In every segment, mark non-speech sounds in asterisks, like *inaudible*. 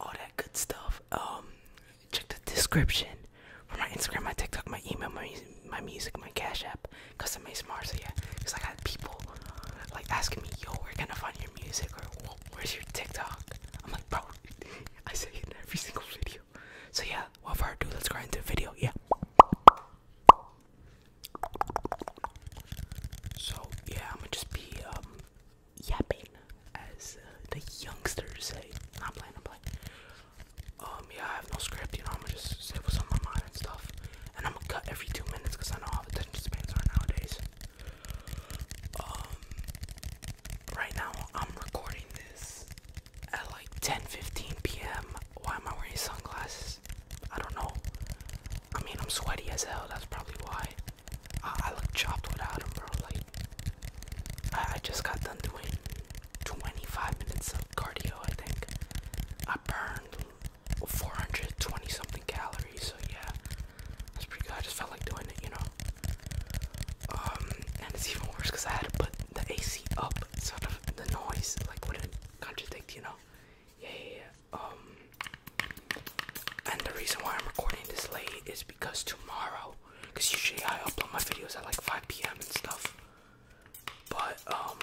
all that good stuff. Um, check the description for my Instagram, my TikTok, my email, my music, my, music, my Cash App, cause I'm smart. So yeah, cause I got people like asking me, yo, where can I find your music or where's your TikTok? I'm like, bro, *laughs* I say it in every single video. So yeah, without further ado, let's go into the video. Yeah. So yeah, I'm gonna just be um yapping, as uh, the youngsters say. Not playing, I'm playing. Um, yeah, I have no script, you know, I'm gonna just say what's on my mind and stuff. And I'm gonna cut every two minutes because I know how attention spans are nowadays. Um, right now I'm recording this at like 10:15 p.m. Why am I wearing sunglasses? I don't know. I mean, I'm sweaty as hell. That's probably why. I, I chopped without him, Like, I, just got done doing 25 minutes of cardio, I think. I burned 420 something calories, so yeah, that's pretty good. I just felt like doing it, you know. Um, and it's even worse because I had to put the AC up, so the, the noise like wouldn't contradict, you know. yeah. Um, and the reason why I'm recording this late is because tomorrow, because usually I upload my videos at like 5 p.m. and stuff, but um,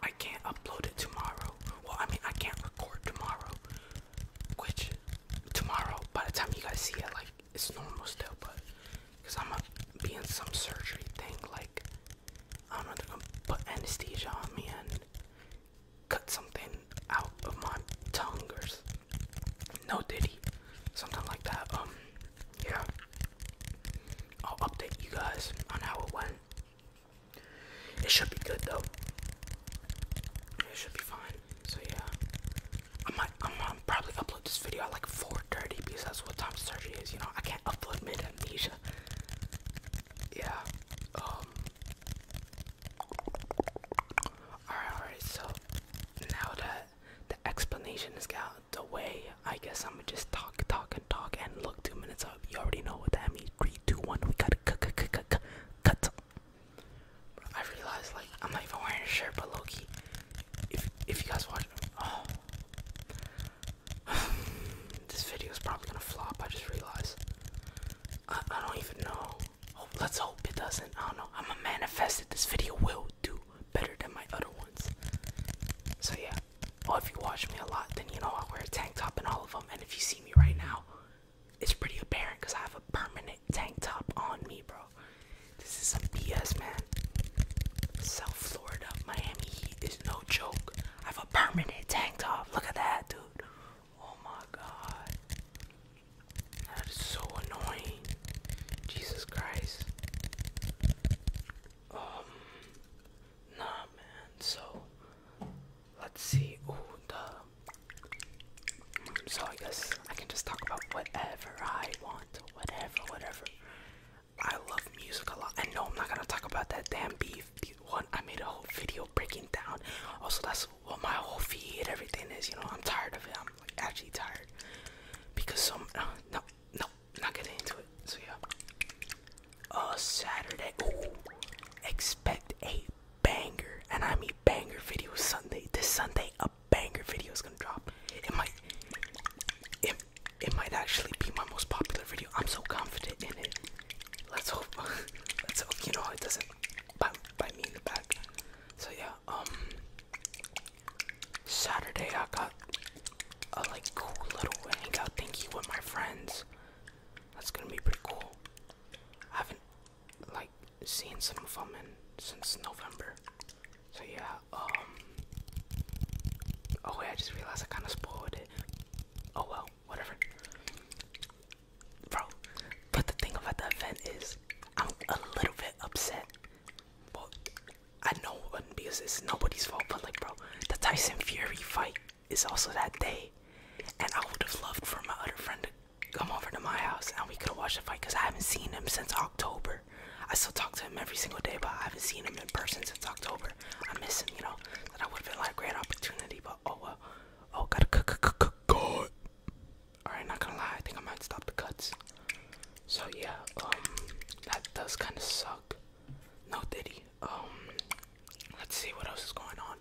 I can't upload it tomorrow. Well, I mean, I can't record tomorrow, which tomorrow, by the time you guys see it, like it's normal still, but because I'm gonna be in some surgery thing, like I don't know, they're gonna put anesthesia on me and cut something out of my tongue or no diddy, something like that. Um, yeah, I'll update you guys on how it went. It should be good though. It should be fine. So yeah, I might, I might probably upload this video at like 4:30 because that's what time surgery is. You know, I can't upload mid amnesia. Yeah. Um, Alright, alright, so now that the explanation is out the way, I guess I'm gonna just talk, talk, and talk. And look, two minutes up. You already know what that means. Three, two, one. We gotta cut, cut, cut, cut, I realized, like, I'm not even wearing a shirt, but Loki. If if you guys watch, oh, *sighs* this video is probably gonna flop. I just realized. I, don't even know. let's hope it doesn't. I don't know. I'm going to manifest that this video will do better than my other ones. So yeah. Or if you watch me a lot, then you know I wear a tank top in all of them. And if you see me right now, it's pretty apparent because I have a permanent tank top on me, bro. This is a BS, man. South Florida, Miami Heat is no joke. I have a permanent tank top. Look at that, dude. Oh my god. That is so annoying. Jesus Christ. Um nah man, so let's see. Ooh the so I guess I can just talk about whatever I want. Whatever, whatever. I love music a lot. I know I'm not gonna talk about that damn beef one. I made a whole video breaking down. Also, that's well, my whole feed, everything is. You know, I'm tired of it. I'm actually tired because some uh, no no not getting into it. So yeah. Uh, Saturday. expect a banger, and I mean banger video Sunday. This Sunday, a banger video is gonna drop. It might, it, it might actually be my most popular video. I'm so confident in it. Let's hope. *laughs* Let's hope. You know, it doesn't by, me in the back. So yeah, um, Saturday I got a like cool little hangout thingy with my friends. That's gonna be pretty cool. I haven't like seen some of them in, since November. So yeah, um, oh wait, I just realized I kind of spoiled it. Oh well, whatever bro. But the thing about the event is, I'm a little bit upset. Well, I know it wouldn't because it's nobody's fault, but like, bro, the Tyson Fury fight is also that day, and I would have loved for my other friend to come over to my house and we could have watched the fight because I haven't seen him since October. I still talk to him every single day, but I haven't seen him in person since October. I miss him, you know. That I would have been like a great opportunity, but oh well. Oh, gotta cook, Alright, not gonna lie, I think I might stop the cuts. So yeah, um, that does kind of suck. No diddy. Um, let's see what else is going on.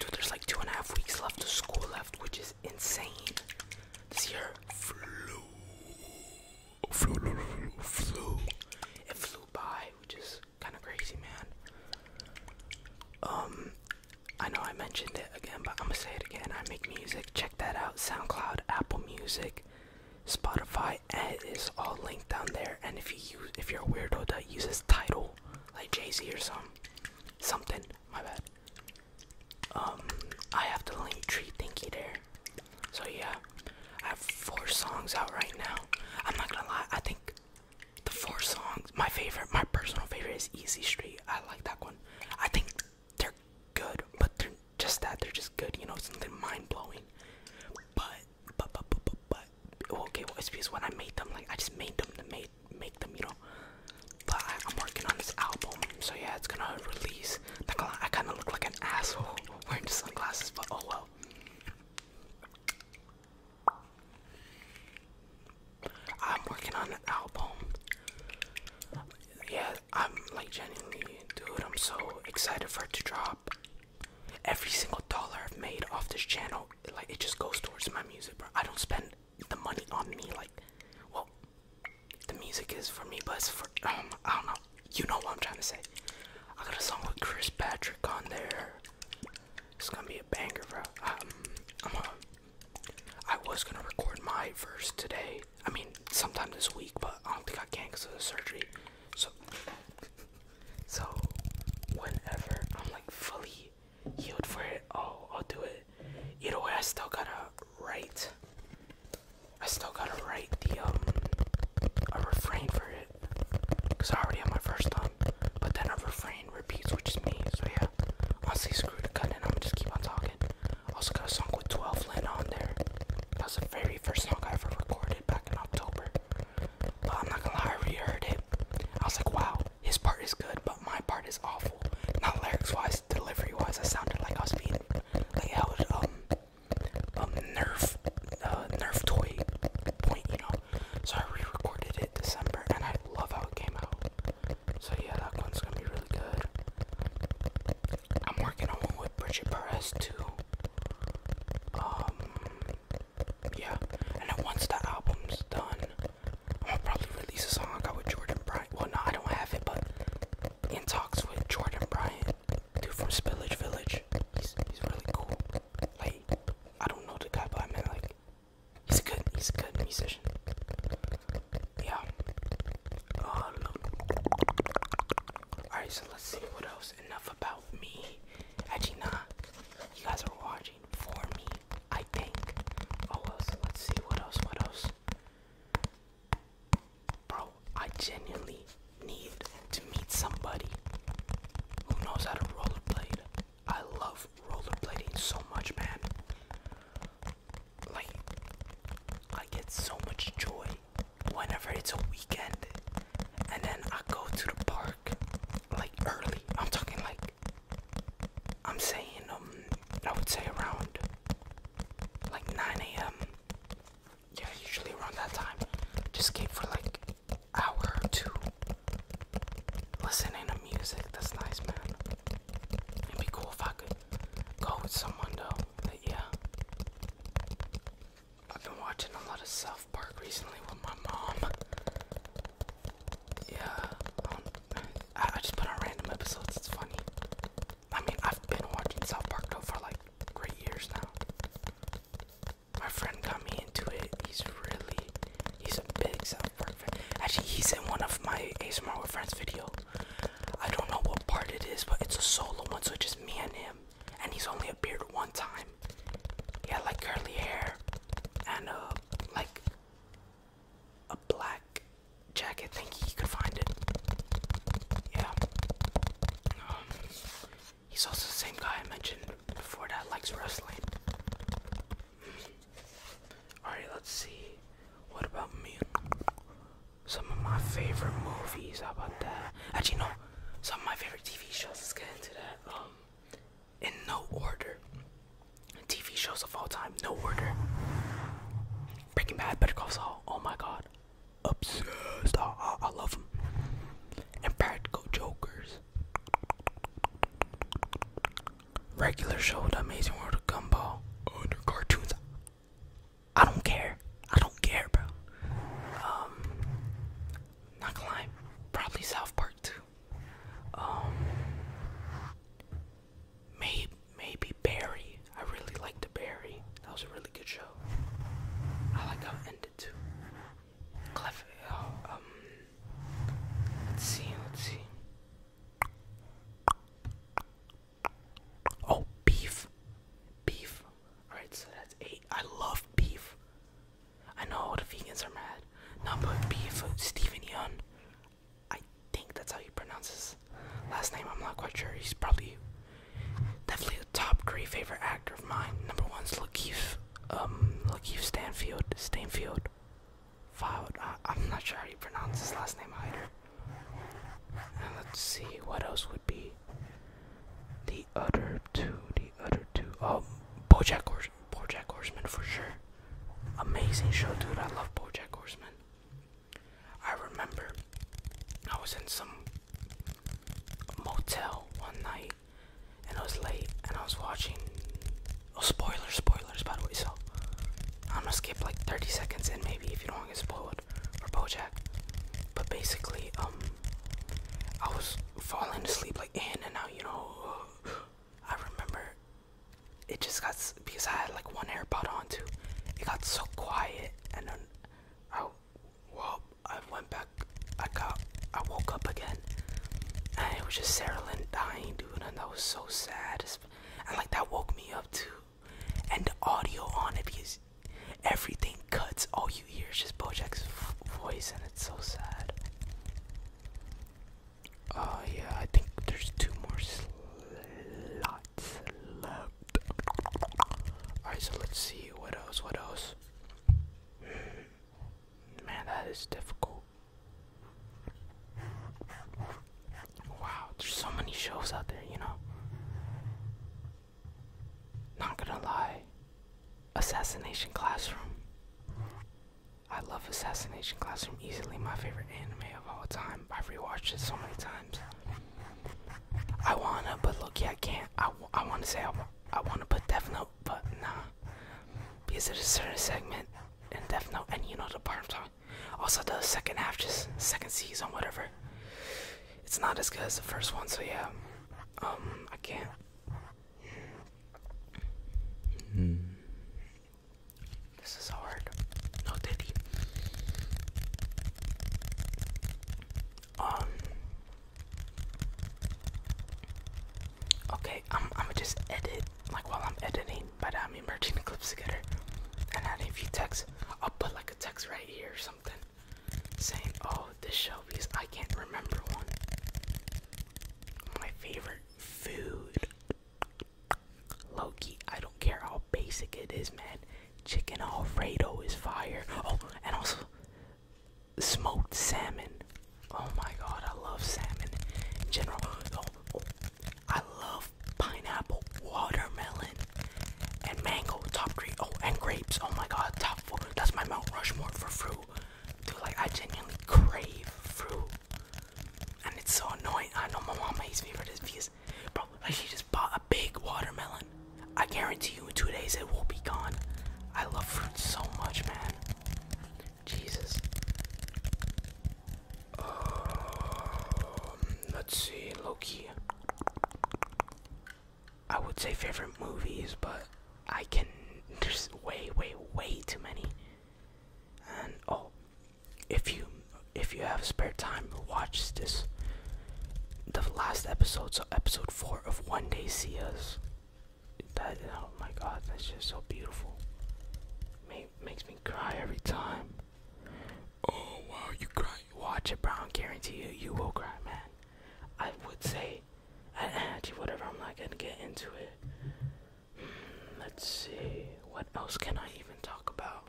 Dude, there's like two and a half weeks left of school left, which is insane. This year flew, flew, flew, flew. It flew by, which is kind of crazy, man. Um, I know I mentioned it again, but I'm gonna say it again. I make music. Check that out. SoundCloud, Apple Music, Spotify, and it is all linked down there. And if you use, if you're a weirdo that uses title, like Jay Z or some, something. My bad. Um, I have the link tree thingy there. So yeah, I have four songs out right now. I'm not gonna lie. I think the four songs, my favorite, my personal favorite is Easy Street. I like that one. I think they're good, but they're just that. They're just good, you know, something mind blowing. But, but, but, but, but, okay, well, it's because when I made them, like, I just made them to make, make them, you know. But I, am working on this album, so yeah, it's gonna release. Not I kind of look like an asshole *laughs* wearing sunglasses, but oh well. I'm working on an album. Yeah, I'm like genuinely, dude, I'm so excited for it to drop. Every single dollar I've made off this channel, like, it just goes towards my music, bro. I don't spend the money on me, like, well, the music is for me, but it's for, um, I don't know. You know what I'm trying to say. I got a song with Chris Patrick on there. It's gonna be a banger, bro. Um, uh, I was gonna record my verse today. I mean, sometime this week, but I don't think I can because of the surgery. So, so whenever I'm like fully healed for it, oh, I'll do it. Either way, I still gotta write. I still gotta write the um a refrain for it, cause I already have my first one, but then a refrain repeats, which is me. So yeah, I'll say screw the cut and I'm just keep on talking. Also got a song with 12 Lin on there. That was the very first song I ever recorded back in October. But I'm not gonna lie, I reheard it. I was like, wow, his part is good, but my part is awful. Not lyrics-wise, delivery-wise, I sounded like I was being like I was um um nerf uh nerf toy point, you know, so I re-recorded it December, and I love how it came out. So yeah, that one's gonna be really good. I'm working on one with Bridget Perez too. Um, yeah, and once the album's done, I'll probably release a song I got with Jordan Bryant. Well, no, I don't have it, but in talks with Jordan Bryant, two from Spillage Village. He's he's really cool. Like, I don't know the guy, but I mean like He's a good, he's a good musician. Yeah. Um, Alright, so let's see what else. Enough about me. Actually, nah. You guys are watching for me, I think. Oh, let's see what else, what else. Bro, I genuinely need to meet somebody who knows how to rollerblade. I love rollerblading so much, man. Like, I get so much joy whenever it's a weekend, and then I go to the park like early. I'm talking like, I'm saying, um, I would say around like 9 a.m. Yeah, usually around that time. Just came for like hour or listening to music. That's nice, man. It'd be cool if I could go with someone, though. yeah. I've been watching a lot of South Park recently with my mom. Yeah. Um, I, just put on random episodes. It's funny. I mean, I've been watching South Park, though, for like three years now my friend got me into it. He's really, he's a big South fan. Actually, he's in one of my ASMR friends videos. I don't know what part it is, but it's a solo one, so it's just me and him. And he's only appeared one time. He had like curly hair and uh, like a black jacket. Think he could find it. Yeah. Um, he's also the same guy I mentioned before that likes wrestling. Alright, let's see. What about me? Some of my favorite movies. How about that? Actually, no. Some of my favorite TV shows. Let's get into that. Um, in no order. TV shows of all time. No order. Breaking Bad, Better Call Saul. Oh my God. Obsessed. I, I love them. Impractical Jokers. Regular show, The Amazing World of Gumball, under cartoons. I don't care. I don't care, bro. Um, not probably South Park too. Um, maybe maybe Barry. I really liked the Barry. That was a really good show. I like how it ended too. Clef, uh, um, Let's see, let's see. Oh, beef. Beef. Alright, so that's eight. I love beef. I know the vegans are mad. Number but beef, Stephen Young. I think that's how he pronounces last name. I'm not quite sure. He's probably definitely a top three favorite actor of mine. Number one's Lakeith um, Lakeith Stanfield, Stanfield, filed, I'm not sure how you pronounce his last name either. Uh, let's see, what else would be the other two, the other two, oh, Bojack, Hors Bojack Horseman for sure. Amazing show, dude, I love Bojack Horseman. I remember I was in some motel one night and I was late and I was watching oh spoilers spoilers by the way so I'm gonna skip like 30 seconds in maybe if you don't want to get spoiled for Bojack but basically um I was falling asleep like in and out you know I remember it just got because I had like one AirPod on too it got so quiet and then I whoa! I went back I, got, I woke up again, and it was just Sarah Lynn dying, dude, and that was so sad. And like that woke me up too. And the audio on it because everything cuts. All you hear is just Bojack's voice, and it's so sad. Oh yeah, I think there's two more slots Alright, so let's see what else. What else? Man, that is difficult. Wow, there's so many shows out there, you know? Not gonna lie. Assassination Classroom. I love Assassination Classroom, easily my favorite anime of all time. I've rewatched it so many times. I wanna, but look, yeah, I can't. I, I wanna say I, I wanna put Death Note but nah. Because it's a certain segment in Death Note, and you know the part I'm talking. Also, the second half, just second season, whatever. It's not as good as the first one, so yeah. Um, I can't. This is hard. No diddy. Um, Okay, I'm i gonna just edit like while I'm editing, but I'm merging the clips together. And adding a few text. I'll put like a text right here or something saying, "Oh, this show because I can't remember one." My favorite food, Loki. I don't care how basic it is, man. Chicken Alfredo is fire. Oh, and also smoked salmon. Oh my god, I love salmon in general. Oh, I love pineapple, watermelon, and mango. Top three. Oh, and grapes. Oh my god, top four. That's my Mount Rushmore for fruit. Dude, like I genuinely crave fruit. And it's so annoying. I know my mom hates me for this because, bro, like she just bought a big watermelon. I guarantee you in two days it will be gone. I love fruit so much, man. Jesus. Um, let's see, Loki. I would say favorite movies, but I can. *laughs* There's way, way, way too many. And oh, if you if you have spare time, watch this. The last episode, so episode four of One Day See Us. That, oh my god, that's just so beautiful. makes me cry every time. Oh wow, you cry. Watch it, bro. I guarantee you, you will cry, man. I would say, I actually, whatever. I'm not gonna get into it. Hmm, let's see. What else can I even talk about?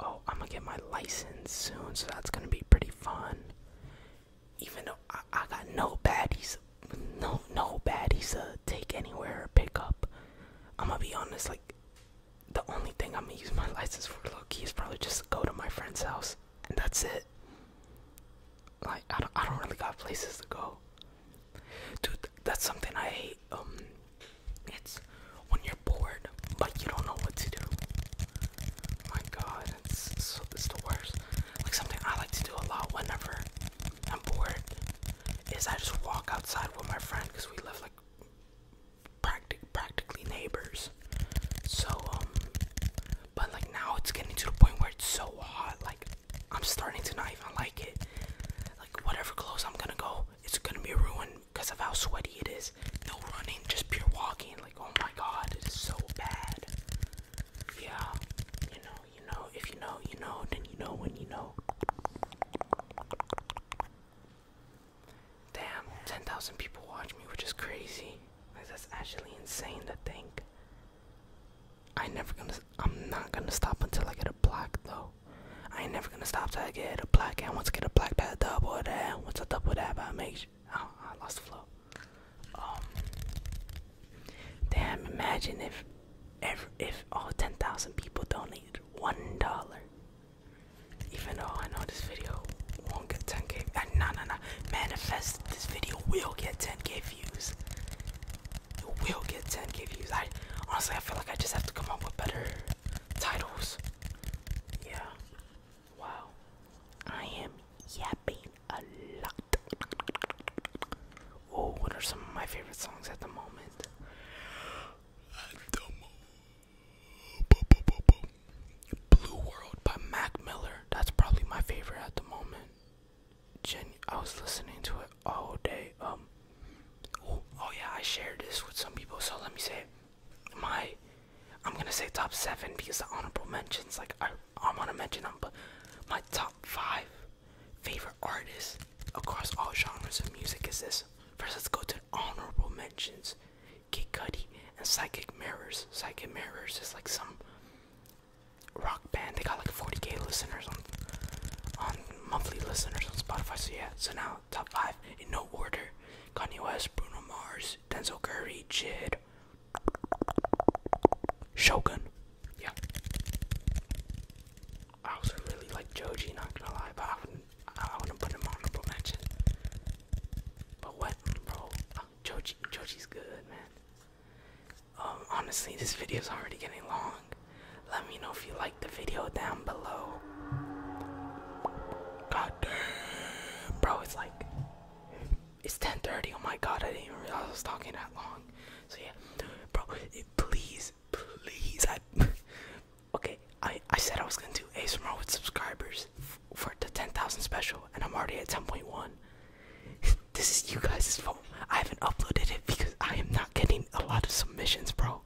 Oh, I'm gonna get my license soon, so that's gonna be pretty fun even though I, got no baddies, no no baddies to take anywhere or pick up. I'm gonna be honest, like the only thing I'm gonna use my *laughs* license for low key is probably just to go to my friend's house, and that's it. Like I don't, I don't really got places to go. Dude, that's something I hate. Um, it's when you're bored but you don't know what to do. My God, it's, it's, it's the worst like something I like to do a lot whenever I'm bored is I just walk outside with my friend because we live like practic practically neighbors. So um, but like now it's getting to the point where it's so hot. Like I'm starting to not even like it. Like whatever clothes I'm gonna go, it's gonna be ruined because of how sweaty it is. No running, just pure walking. Like oh my god, it is so bad. Yeah, you know, you know, if you know, you know, then you know when you know. Damn, 10,000 people watch me, which is crazy. Like, that's actually insane to think. I never gonna, I'm not gonna stop until I get a black though. I ain't never gonna stop till I get a black, and once I get a black, that double that, once I double that, but I make, oh, I lost the flow. Um, damn! Imagine if, if, all ten thousand people donated one dollar. Even though I know this video won't get 10k, uh, no, no, no. Manifest this video will get 10k views. It will get 10k views. I honestly, I feel like I just have to come up with better titles. Yeah. Wow. I am yapping a lot. Oh, what are some of my favorite songs at the moment? Blue World by Mac Miller. That's probably my favorite at the moment. I was listening to it all day. Um oh, yeah, I shared this with some people, so let me say my I'm gonna say top seven because the honorable mentions like I am going to mention them, but my top five favorite artists across all genres of music is this. First, let's go to honorable mentions: Kid Cudi and Psychic Mirrors. Psychic Mirrors is like some rock band. They got like 40k listeners on on monthly listeners on Spotify. So yeah. So now top five in no order: Kanye West, Bruno Mars, Denzel Curry, Jid, Shogun. Yeah. I also really like Joji, not gonna lie, but I wouldn't, put him on honorable mention. But what, bro? Joji, Joji's good, man. Um, honestly, this video's already getting long. Let me know if you like the video down below. God bro, it's like it's 10:30. Oh my god, I didn't realize I was talking that long. So yeah, bro, please, please, I. *laughs* Okay, I I said I was gonna do a ASMR with subscribers for the 10,000 special, and I'm already at 10.1. *laughs* this is you guys' fault. I haven't uploaded it because I am not getting a lot of submissions, bro.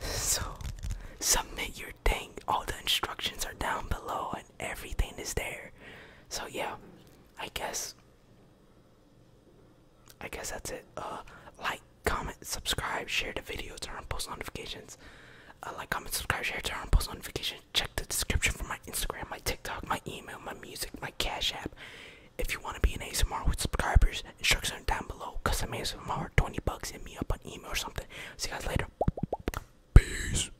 So submit your thing. All the instructions are down below, and everything is there. So yeah, I guess. I guess that's it. Uh, like, comment, subscribe, share the video, turn on post notifications. Uh, like, comment, subscribe, share, turn on post notifications. Check the description for my Instagram, my TikTok, my email, my music, my Cash App. If you want to be an ASMR with subscribers, instructions are down below. Cause Custom ASMR, 20 bucks, hit me up on email or something. See you guys later. Peace.